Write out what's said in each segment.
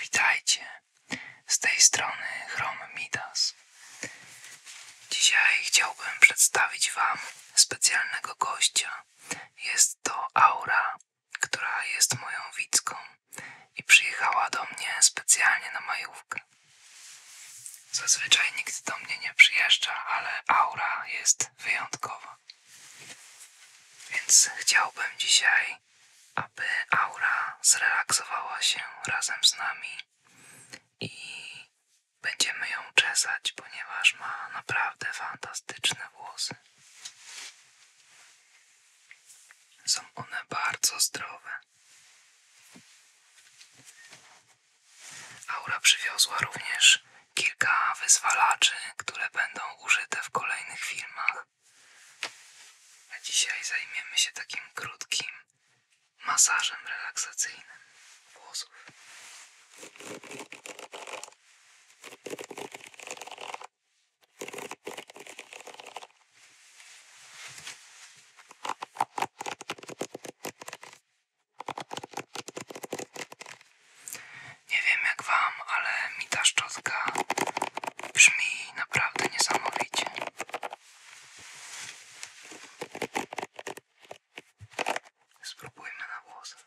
Witajcie, z tej strony Chrom Midas. Dzisiaj chciałbym przedstawić Wam specjalnego gościa. Jest to Aura, która jest moją widzką i przyjechała do mnie specjalnie na majówkę. Zazwyczaj nikt do mnie nie przyjeżdża, ale aura jest wyjątkowa. Więc chciałbym dzisiaj, aby aura zrelaksowała się razem z nami i będziemy ją czesać, ponieważ ma naprawdę fantastyczne włosy. Są one bardzo zdrowe. Aura przywiozła również kilka wyzwalaczy, które będą użyte w kolejnych filmach. A dzisiaj zajmiemy się takim krótkim masażem relaksacyjnym włosów. Nie wiem jak wam, ale mi ta szczotka brzmi naprawdę niesamowicie. Spróbujmy na włosach.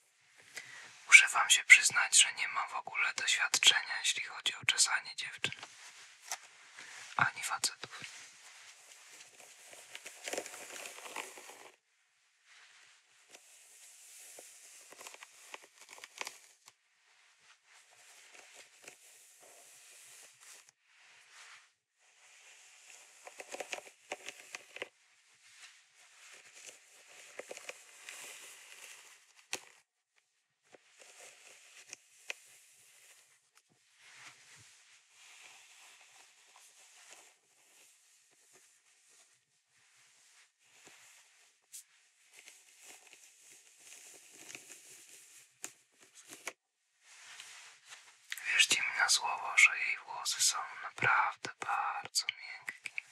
Muszę wam się przyznać, że nie mam w ogóle doświadczenia, jeśli chodzi o czesanie dziewczyn. Ani facetów. Wierzcie mi na słowo, że jej włosy są naprawdę bardzo miękkie.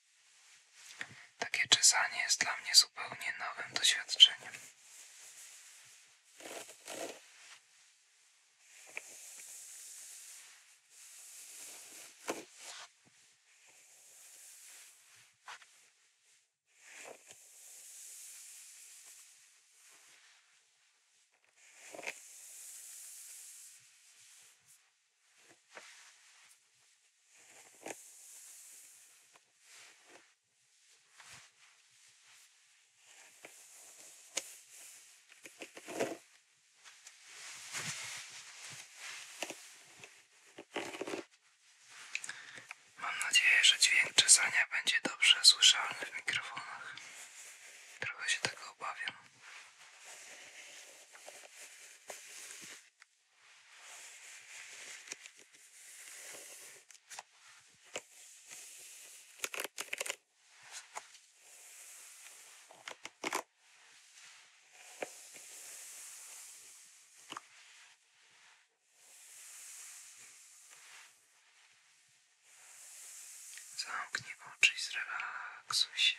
Takie czesanie jest dla mnie zupełnie nowym doświadczeniem. Mam nadzieję, że dźwięk czesania będzie dobrze słyszalny w mikrofonach. Trochę się tego obawiam. Zamknij oczy i zrelaksuj się.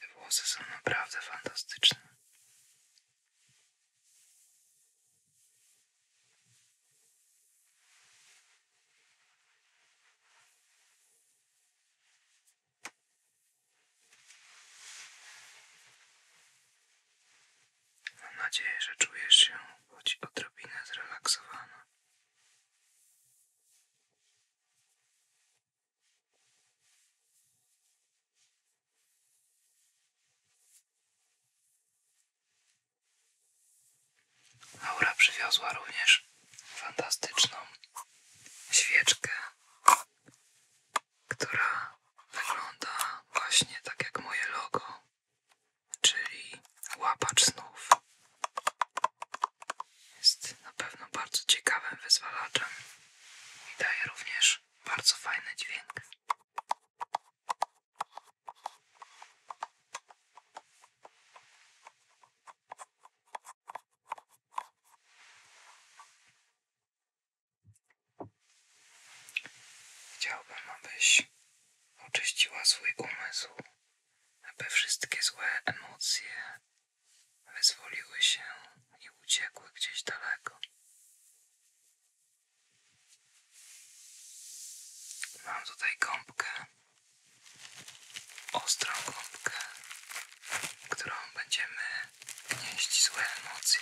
Te włosy są naprawdę fantastyczne. Mam nadzieję, że czujesz się choć odrobinę zrelaksowana. Laura przywiozła również fantastyczną świeczkę, która wygląda właśnie tak jak moje logo, czyli łapacz snów. Jest na pewno bardzo ciekawym wyzwalaczem i daje również bardzo fajny dźwięk. Chciałbym, abyś oczyściła swój umysł, aby wszystkie złe emocje wyzwoliły się i uciekły gdzieś daleko. Mam tutaj gąbkę, ostrą gąbkę, którą będziemy gnieść złe emocje.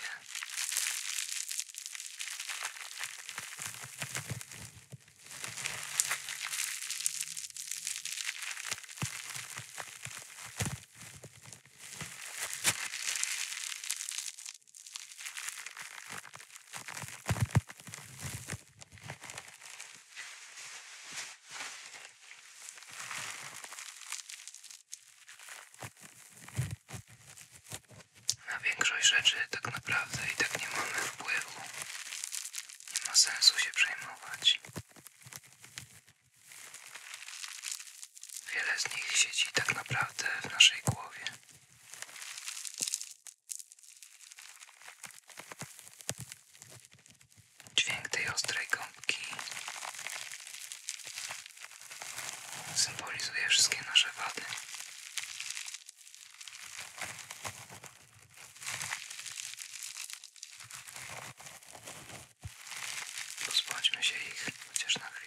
Na większość rzeczy tak naprawdę i tak nie mamy wpływu. Nie ma sensu się przejmować. Wiele z nich siedzi tak naprawdę w naszej głowie. Dźwięk tej ostrej gąbki symbolizuje wszystkie nasze wady. Pozbądźmy się ich chociaż na chwilę.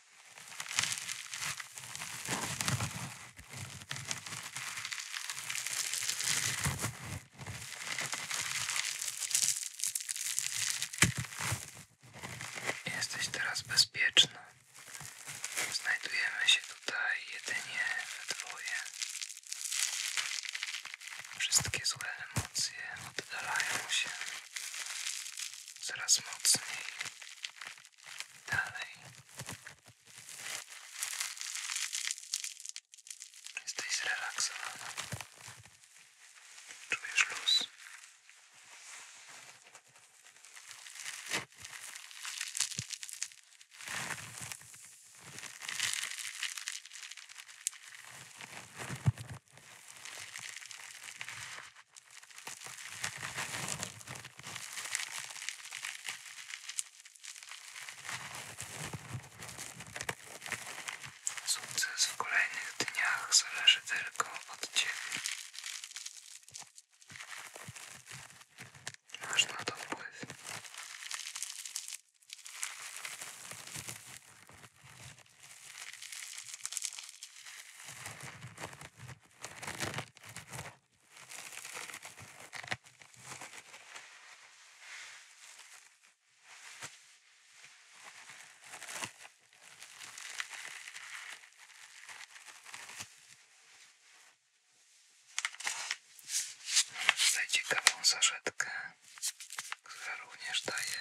Jesteś teraz bezpieczny. Znajdujemy się tutaj jedynie we dwoje. Wszystkie złe emocje oddalają się coraz mocniej Dalej. Jesteś zrelaksowana. Czujesz luz. Sukces w kolejnych dniach zależy tylko od Ciebie. Masz na to wpływ. Tutaj ciekawą saszetkę, która również daje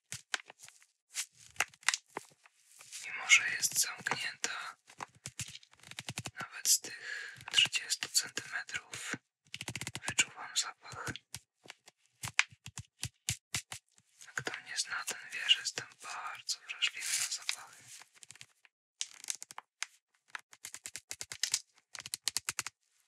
Mimo, że jest zamknięta nawet z tych 30 cm wyczuwam zapach. A kto mnie zna, ten wie, że jestem bardzo wrażliwy na zapachy.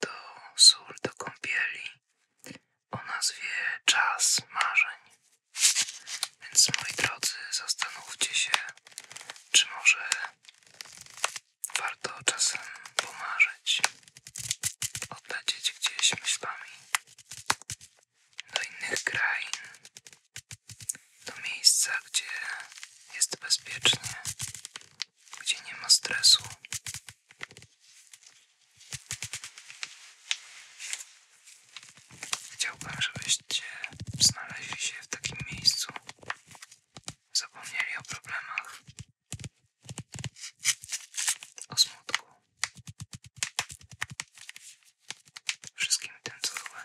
do to sól do kąpieli o nazwie Czas Marzeń. Więc moi drodzy, zastanówcie się, czy może warto czasem pomarzyć, odlecieć gdzieś myślami do innych krain, do miejsca, gdzie jest bezpiecznie, gdzie nie ma stresu. Chciałbym, żebyście znaleźli się w takim miejscu, zapomnieli o problemach, o smutku, wszystkim tym, co złe.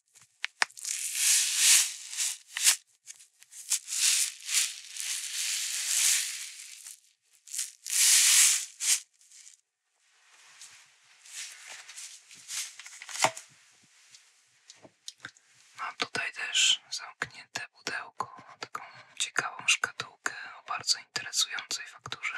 Mam no, tutaj też zamknięte pudełko na taką ciekawą szkatułkę o bardzo interesującej fakturze.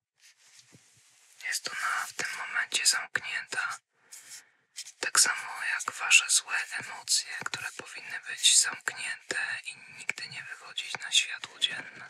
Jest ona w tym momencie zamknięta, tak samo jak wasze złe emocje, które powinny być zamknięte i nigdy nie wychodzić na światło dzienne.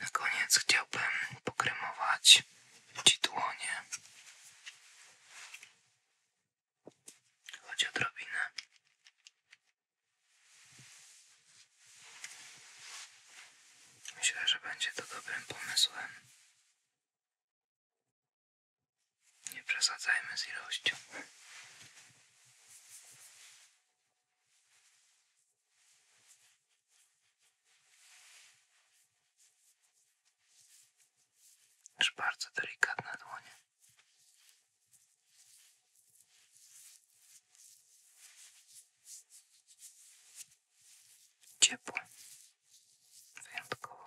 Na koniec chciałbym pokremować Ci Chodź odrobinę. Myślę, że będzie to dobrym pomysłem. Nie przesadzajmy z ilością. Też bardzo delikatne dłonie. Ciepło. Wyjątkowo.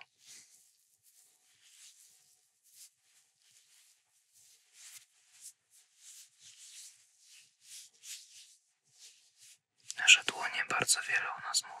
Nasze dłonie bardzo wiele u nas mówią.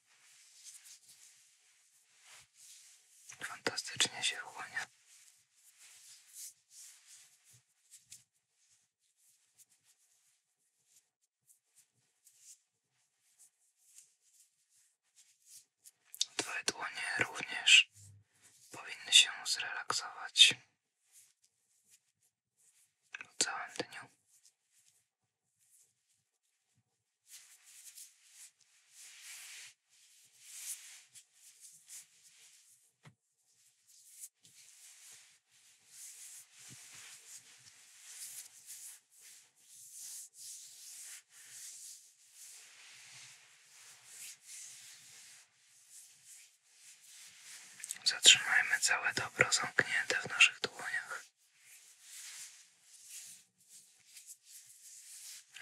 Fantastycznie się wchłania. Twoje dłonie również powinny się zrelaksować po całym dniu. Zatrzymajmy całe dobro zamknięte w naszych dłoniach.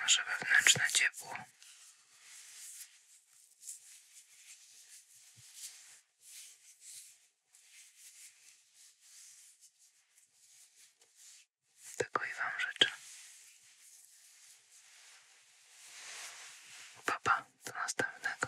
Może wewnętrzne ciepło. Tego i Wam życzę. Papa, do następnego.